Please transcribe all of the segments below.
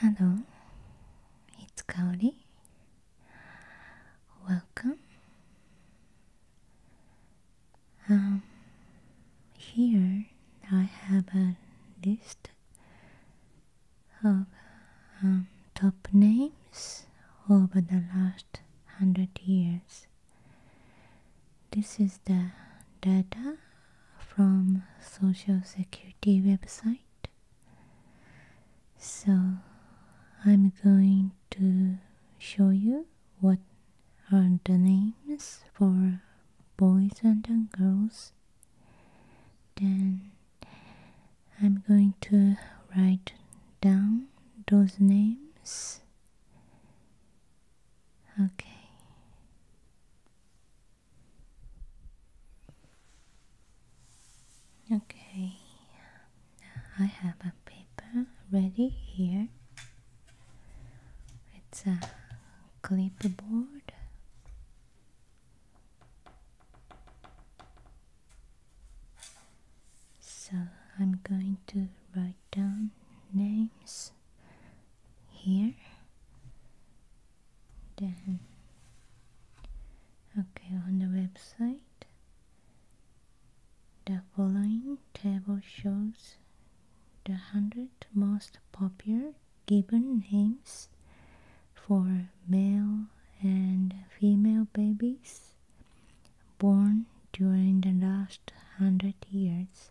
Hello, it's Kaori. Welcome. Um, here I have a list of um, top names over the last hundred years. This is the data from Social Security website. So I'm going to show you what are the names for boys and girls. Then I'm going to write down those names Okay. Okay, I have a paper ready here. It's a clipboard. So I'm going to write down names here then okay on the website the following table shows the 100 most popular given names for male and female babies born during the last 100 years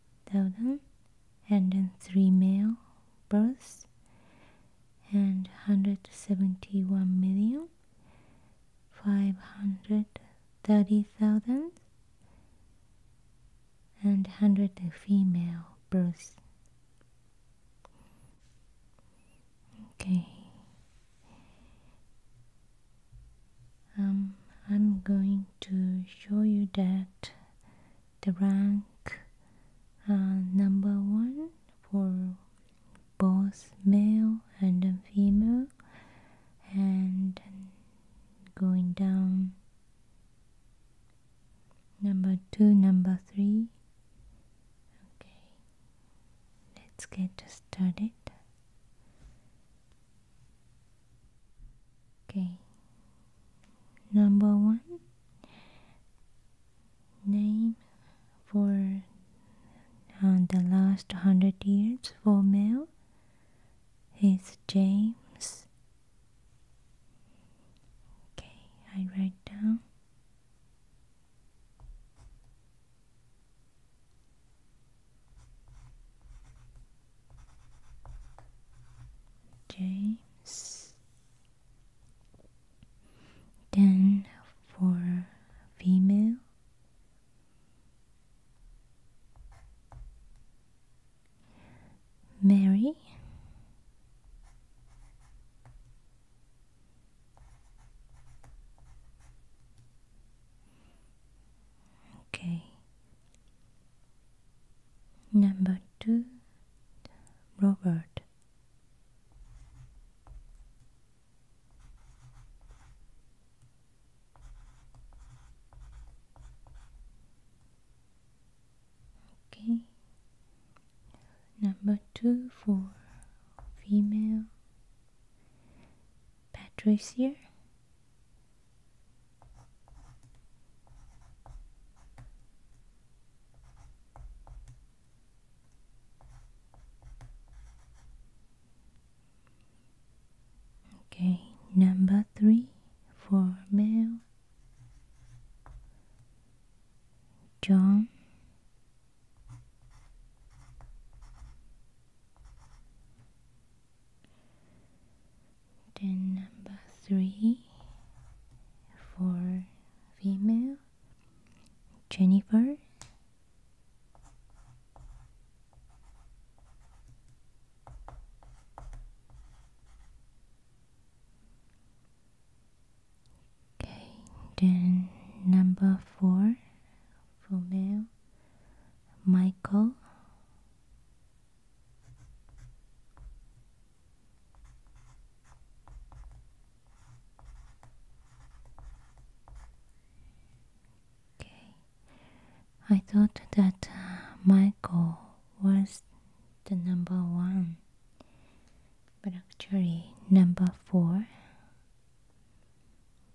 thousand and three male births and 171 million 530,000 and 100 female births okay um, I'm going to show you that the rank uh, number one for both male and female and going down number two number three okay let's get started Okay. Number one name for uh, the last hundred years for male is James. Okay, I write down. James. Then for female, Mary. Okay, Number two, Robert. Okay. Number two for female Patricia Okay, number three for male John then number three for female Jennifer. Okay, then number four for male Michael. Okay, I thought that uh, Michael was the number one, but actually, number four,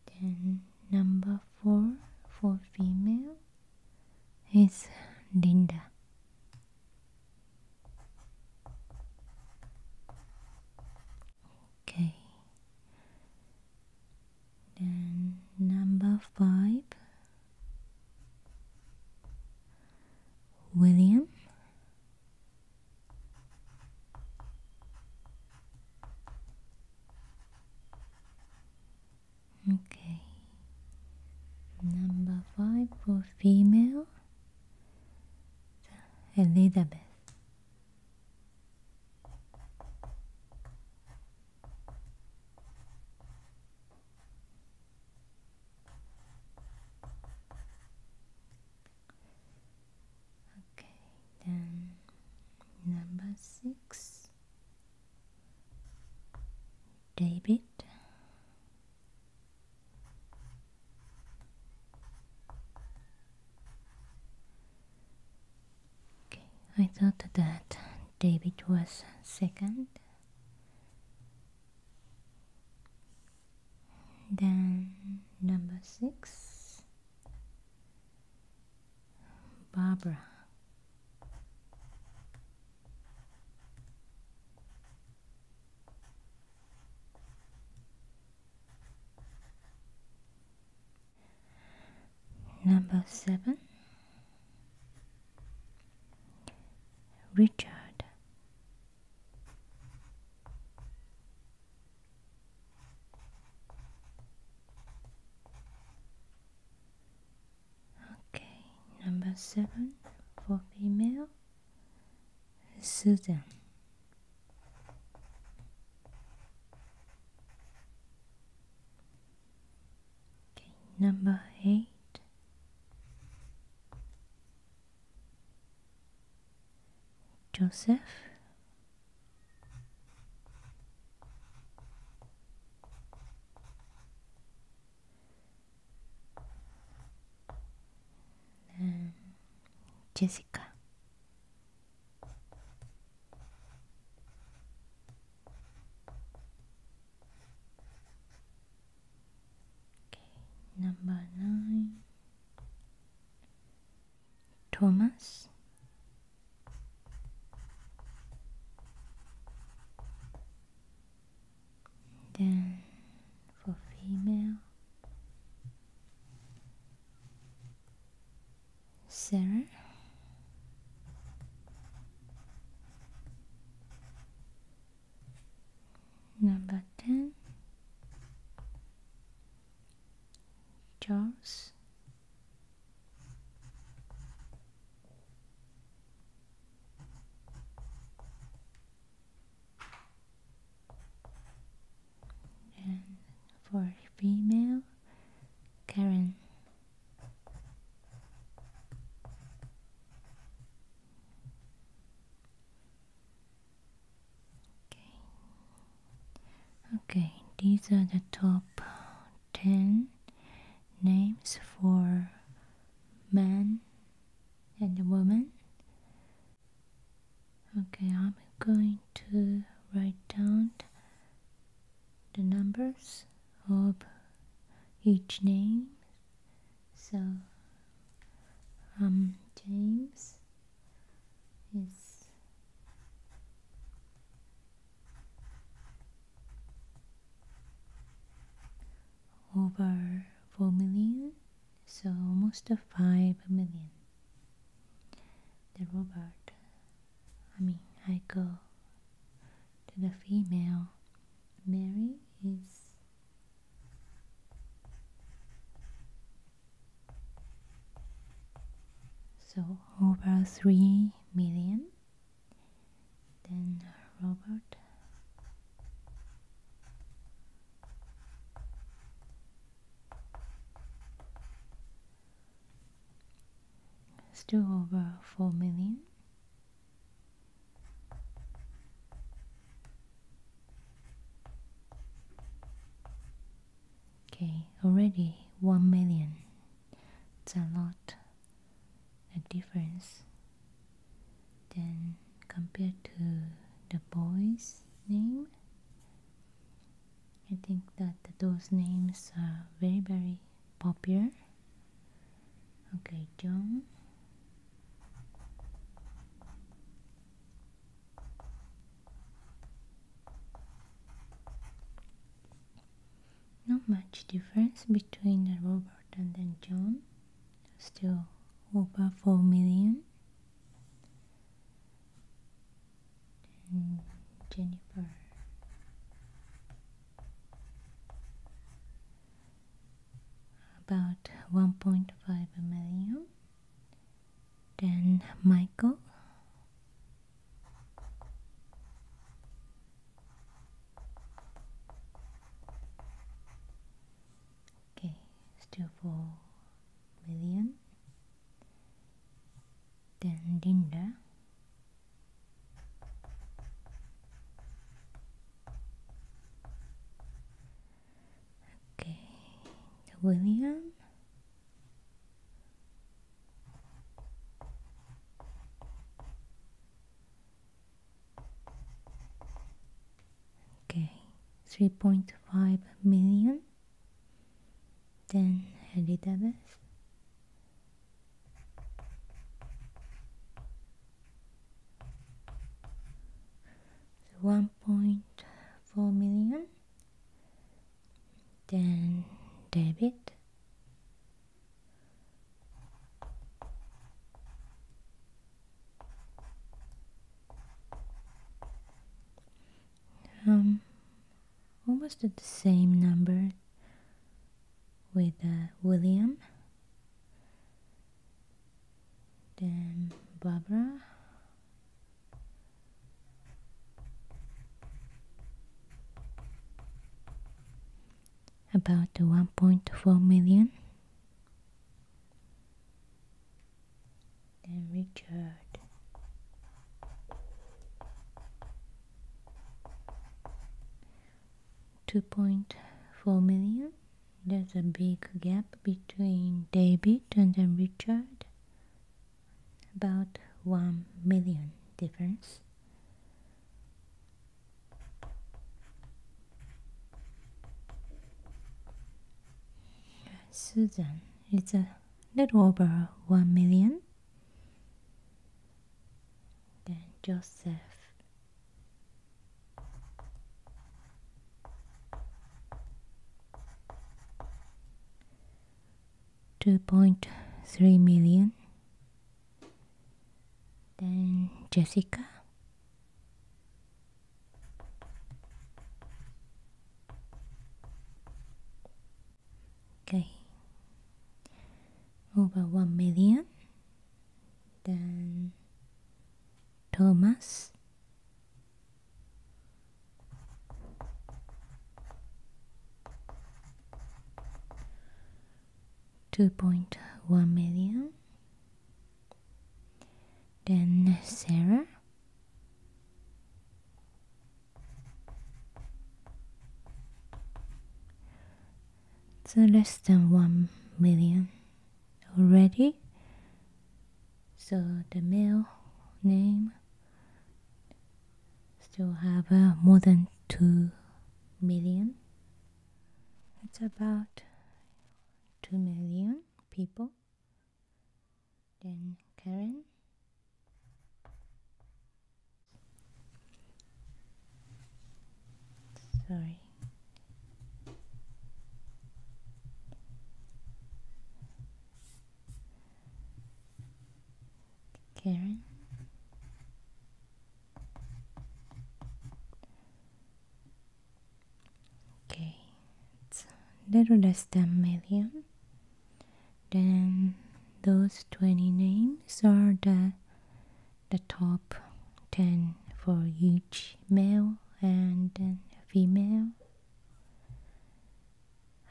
then number four for female is Linda. Okay. Then number five William Okay. Number five for female Elizabeth. Okay, then number six David Okay, I thought that David was second. Then number six, Barbara. Number seven Richard. Okay, number seven for female, Susan. Okay, number eight, Joseph. Jessica. Okay, number nine. Thomas. Then for female, Sarah. Number 10 Charles and for female, Karen. Okay. Okay, these are the top 10 names for men and the woman. Okay, I'm going to write down the numbers of each name. So, um, James is over 4 million, so almost 5 million. The robot, I mean, I go to the female. Mary is so over 3 million then Robert still over 4 million okay already 1 million it's a lot the difference then compared to the boy's name I think that those names are very very popular okay John not much difference between the Robert and then John still over 4 million. And Jennifer. About 1.5 million. Then Michael. Okay, still 4 million. Then Linda. Okay, William okay 3.5 million then Elizabeth 1.4 million then debit. Um, almost at the same number with uh, William, then Barbara. about 1.4 million then Richard. Two point four million. There's a big gap between David and then Richard. About one million difference. Susan it's a little over one million. Then Joseph. Two point three million. Then Jessica Okay, over one million. Then Thomas. Two point one million then Sarah. So less than 1 million already. So the male name still have uh, more than 2 million. It's about 2 million people. Then Karen. Sorry. Karen okay it's a little less than million then those 20 names are the the top 10 for each male and female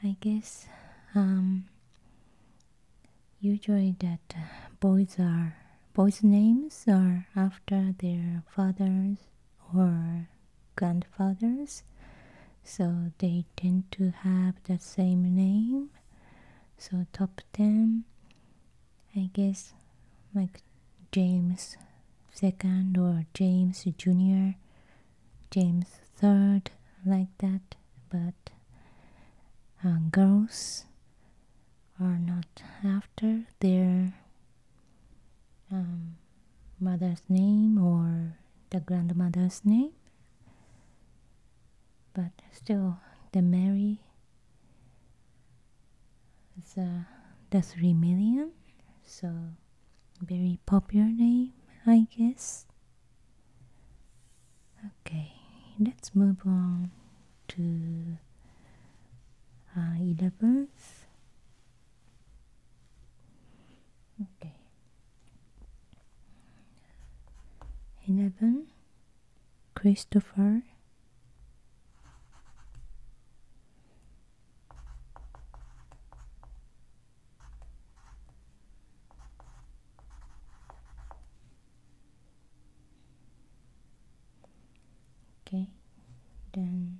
i guess um, usually that uh, boys are Boys' names are after their fathers or grandfathers, so they tend to have the same name. So top 10, I guess like James second or James Jr., James third, like that, but uh, girls are not after their um, mother's name or the grandmother's name, but still the Mary is uh, the three million, so very popular name, I guess. Okay, let's move on to uh, 11th okay 11 Christopher okay then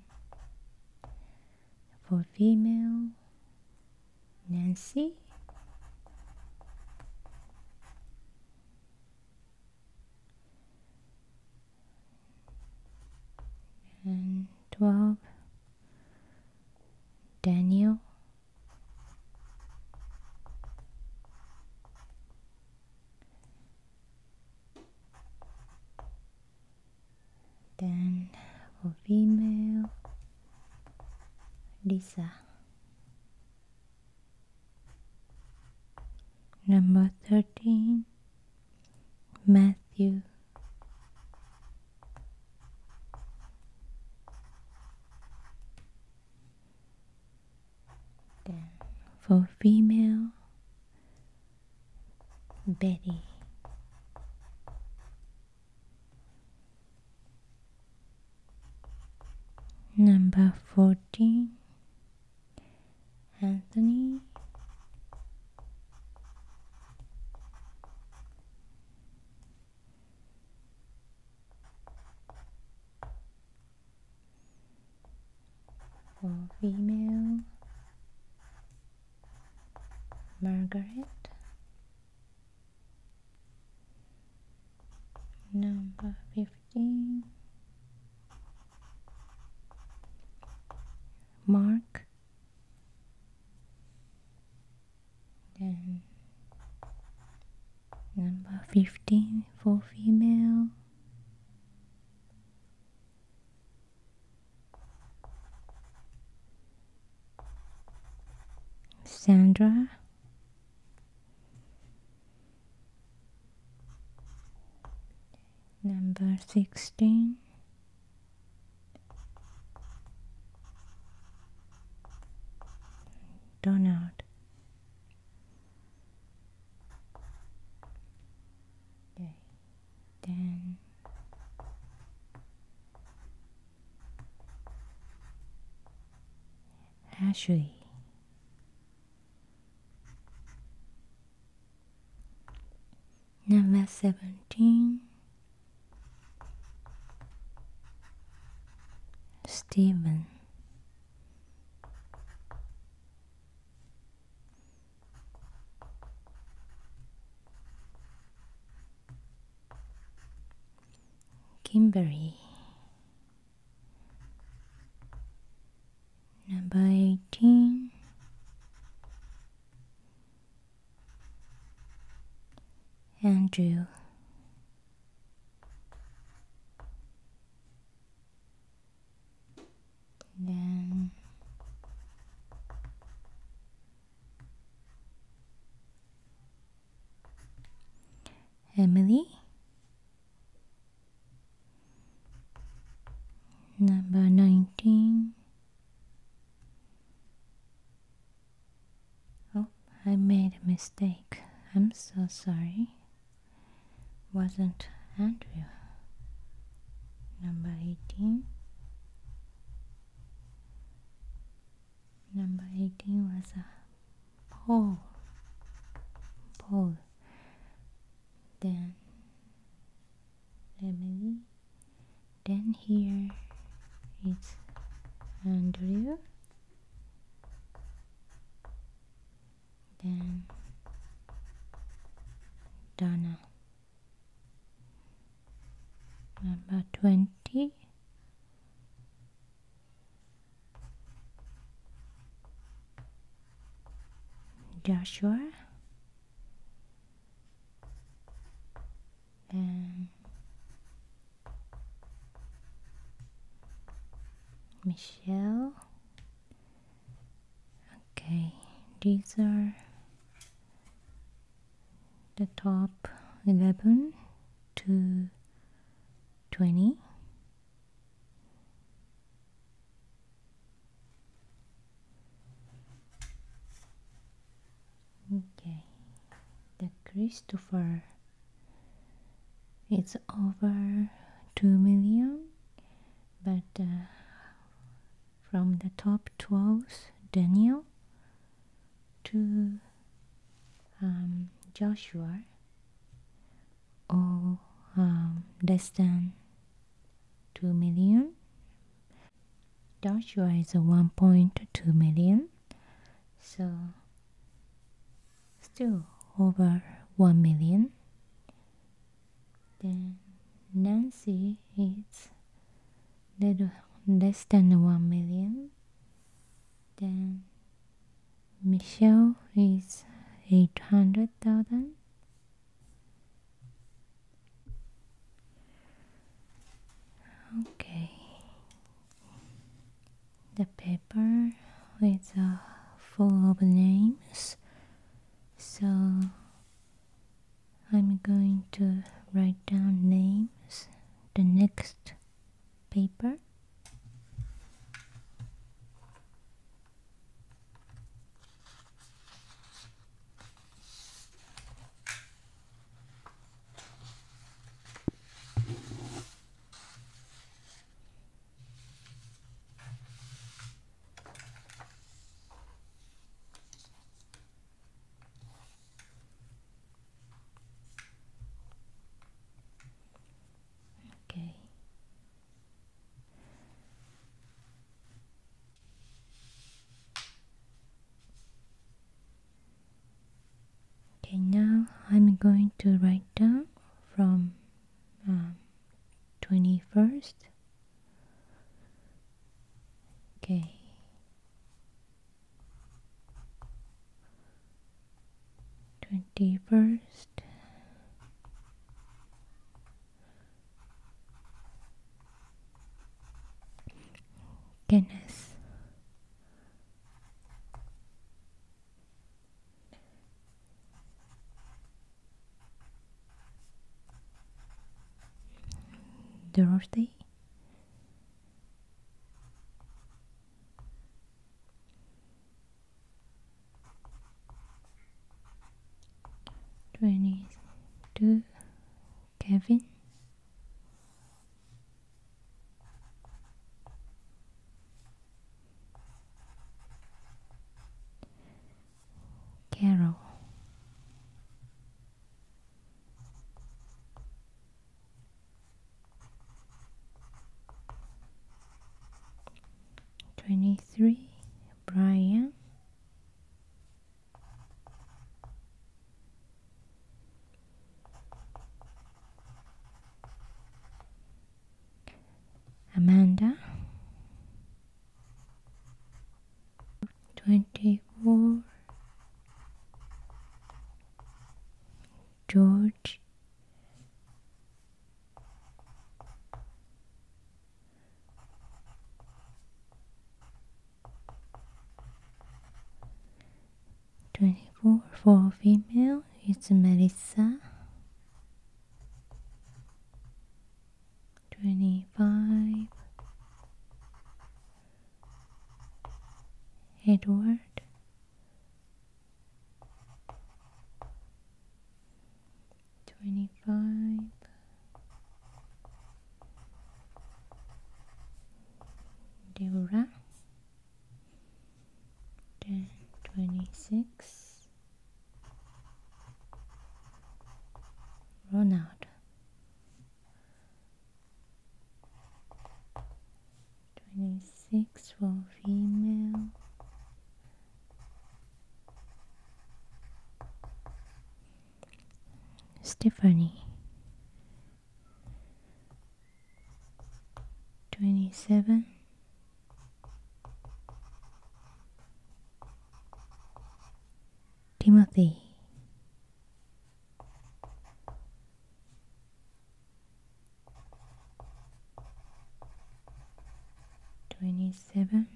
for female Nancy and 12 Daniel then for female, Lisa. Number 13, Matthew. Then for female, Betty. Number 14, Anthony. For female Margaret number 15 Mark then number 15 for female Sandra number 16 Donald Okay, Ashley. Number seventeen, Stephen. Kimberly. Number 18 Andrew then Emily. Number 19. Oh, I made a mistake. I'm so sorry wasn't Andrew. Number 18. Number 18 was a Paul. Paul. Then Emily. Then here it's Andrew then Donna. Number 20. Joshua and Michelle okay these are the top 11 to 20 okay the Christopher it's over 2 million but uh, from the top twelve, Daniel to um, Joshua or um, less than 2 million Joshua is 1.2 million so still over 1 million then Nancy is little less than one million. Then Michelle is eight hundred thousand. Okay. The paper is uh, full of names so I'm going to write down names the next paper. Okay. Okay, now I'm going to write down from 21st um, Okay. Twenty first. Goodness. Dorothy twenty two Kevin Carol twenty three Brian Amanda 24 George Twenty four for female it's Melissa 25 Edward Twenty five, Dora. then twenty six, run Twenty six for female. Stephanie. Twenty seven. Timothy twenty seven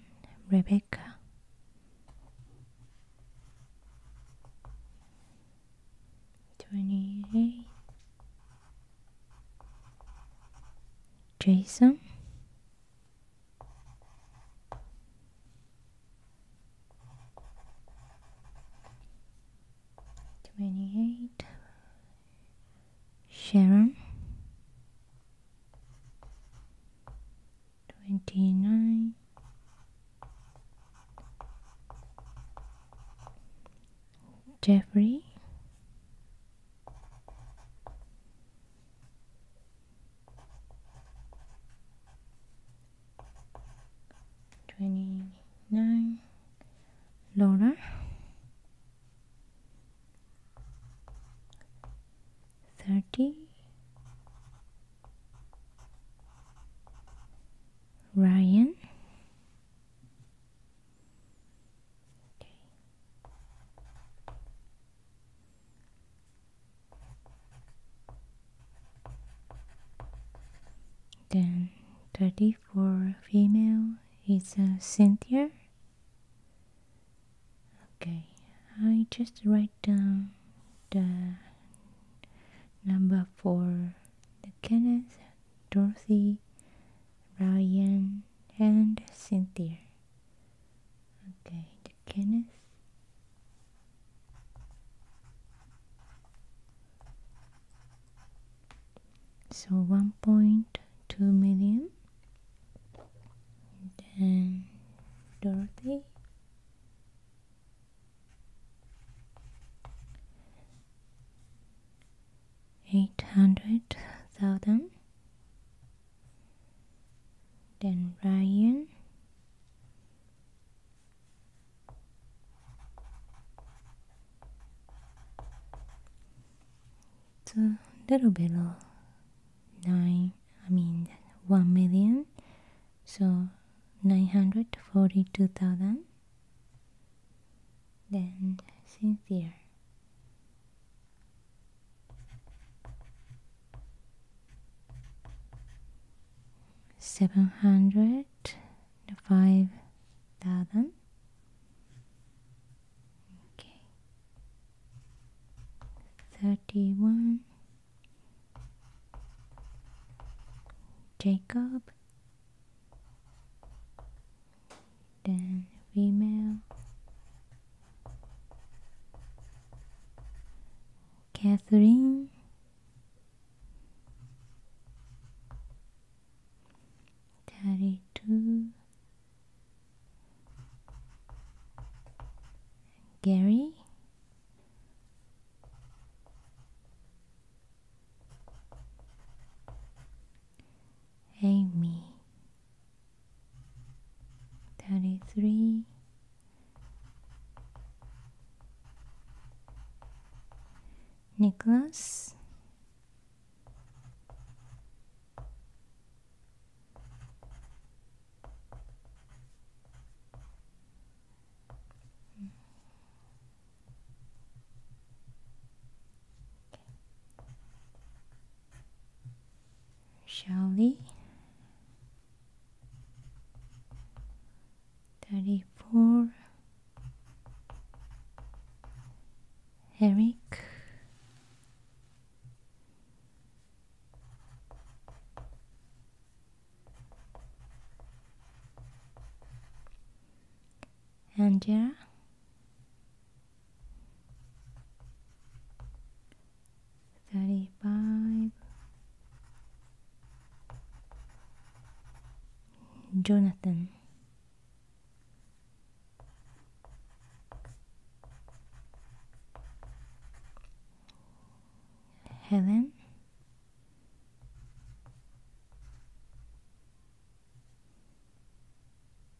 Rebecca twenty eight Jason Twenty-eight. Sharon. Twenty-nine. Jeffrey 29 Laura 30 Ryan okay. Then 34 female is a uh, Cynthia. Okay, I just write down the number for Kenneth, Dorothy, Ryan, and Cynthia. Okay, the Kenneth. So 1.2 million. Then Dorothy. Eight hundred thousand then Ryan a little below nine I mean one million so nine hundred forty two thousand then Cynthia seven hundred five thousand. Okay, thirty one. Jacob, then female Catherine thirty two Gary Amy 33 Nicholas Shelly, Thirty four Eric Angela 35 Jonathan Helen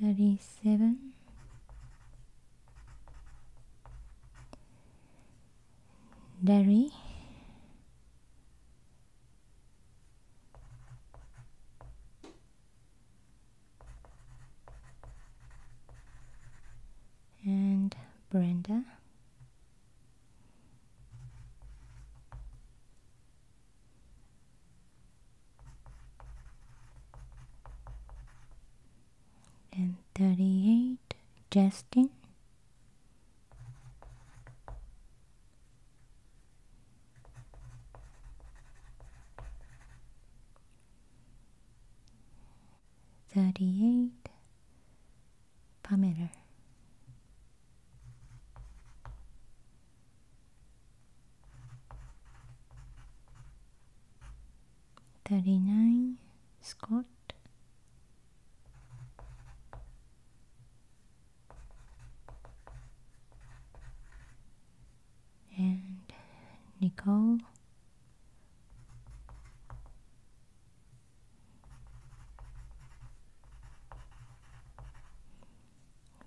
37 Derry and Brenda and 38 Justin Thirty-eight, Pamela. 39 Scott and Nicole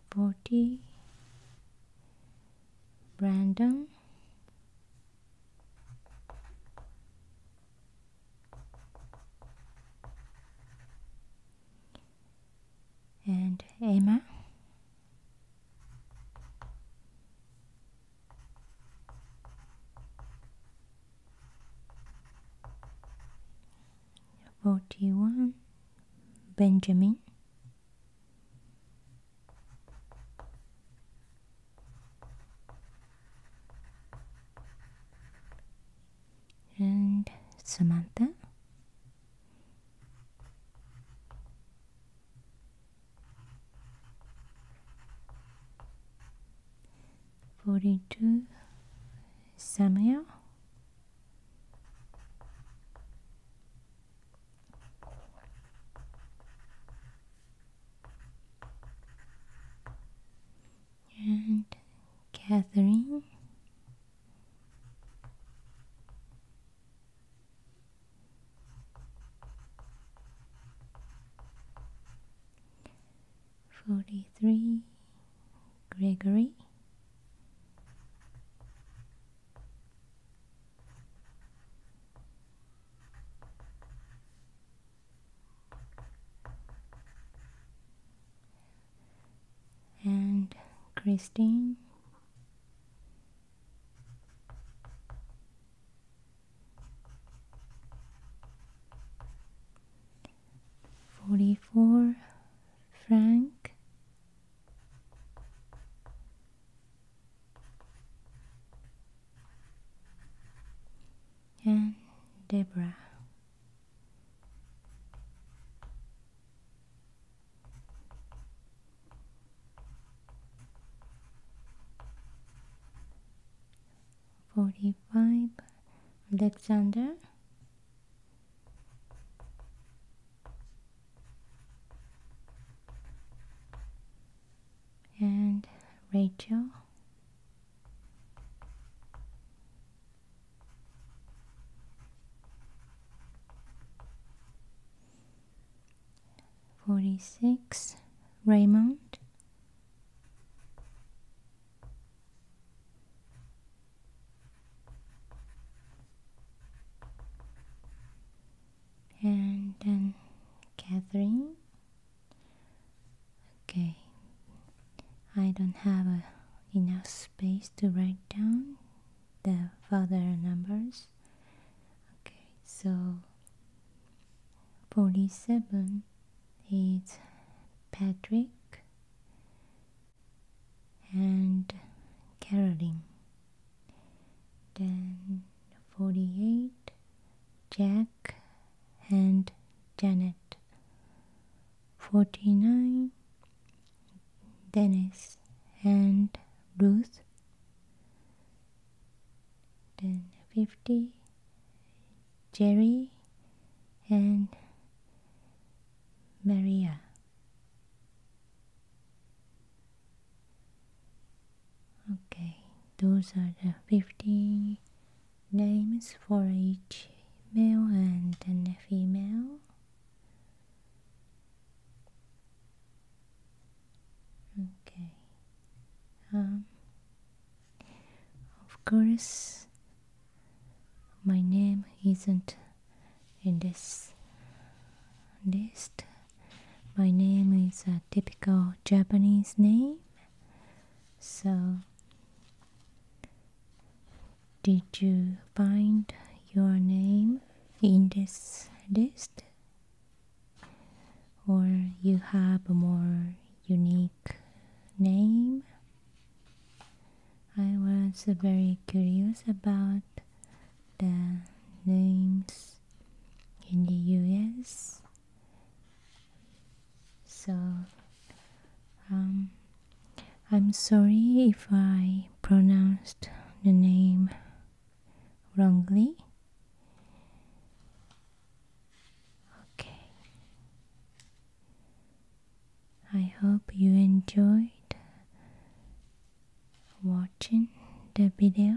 Forty Brandon and Emma forty one Benjamin and Samantha. Forty two Samuel and Catherine. Forty three Gregory and Christine. Forty four Frank and Deborah. Forty-five, Alexander and Rachel. Forty six Raymond and then Catherine. Okay, I don't have enough space to write down the father numbers. Okay, so 47 is Patrick and Caroline. Then 48 Jack and Janet 49 Dennis and Ruth then 50 Jerry and Maria Okay, those are the 50 names for each male and then female. Okay. Um, of course, my name isn't in this list. My name is a typical Japanese name, so did you find your name in this list? Or you have a more unique name? I was very curious about the names in the US. So um, I'm sorry if I pronounced the name wrongly. Okay. I hope you enjoyed watching the video.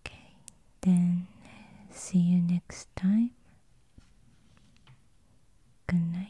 Okay, then see you next time. Good night.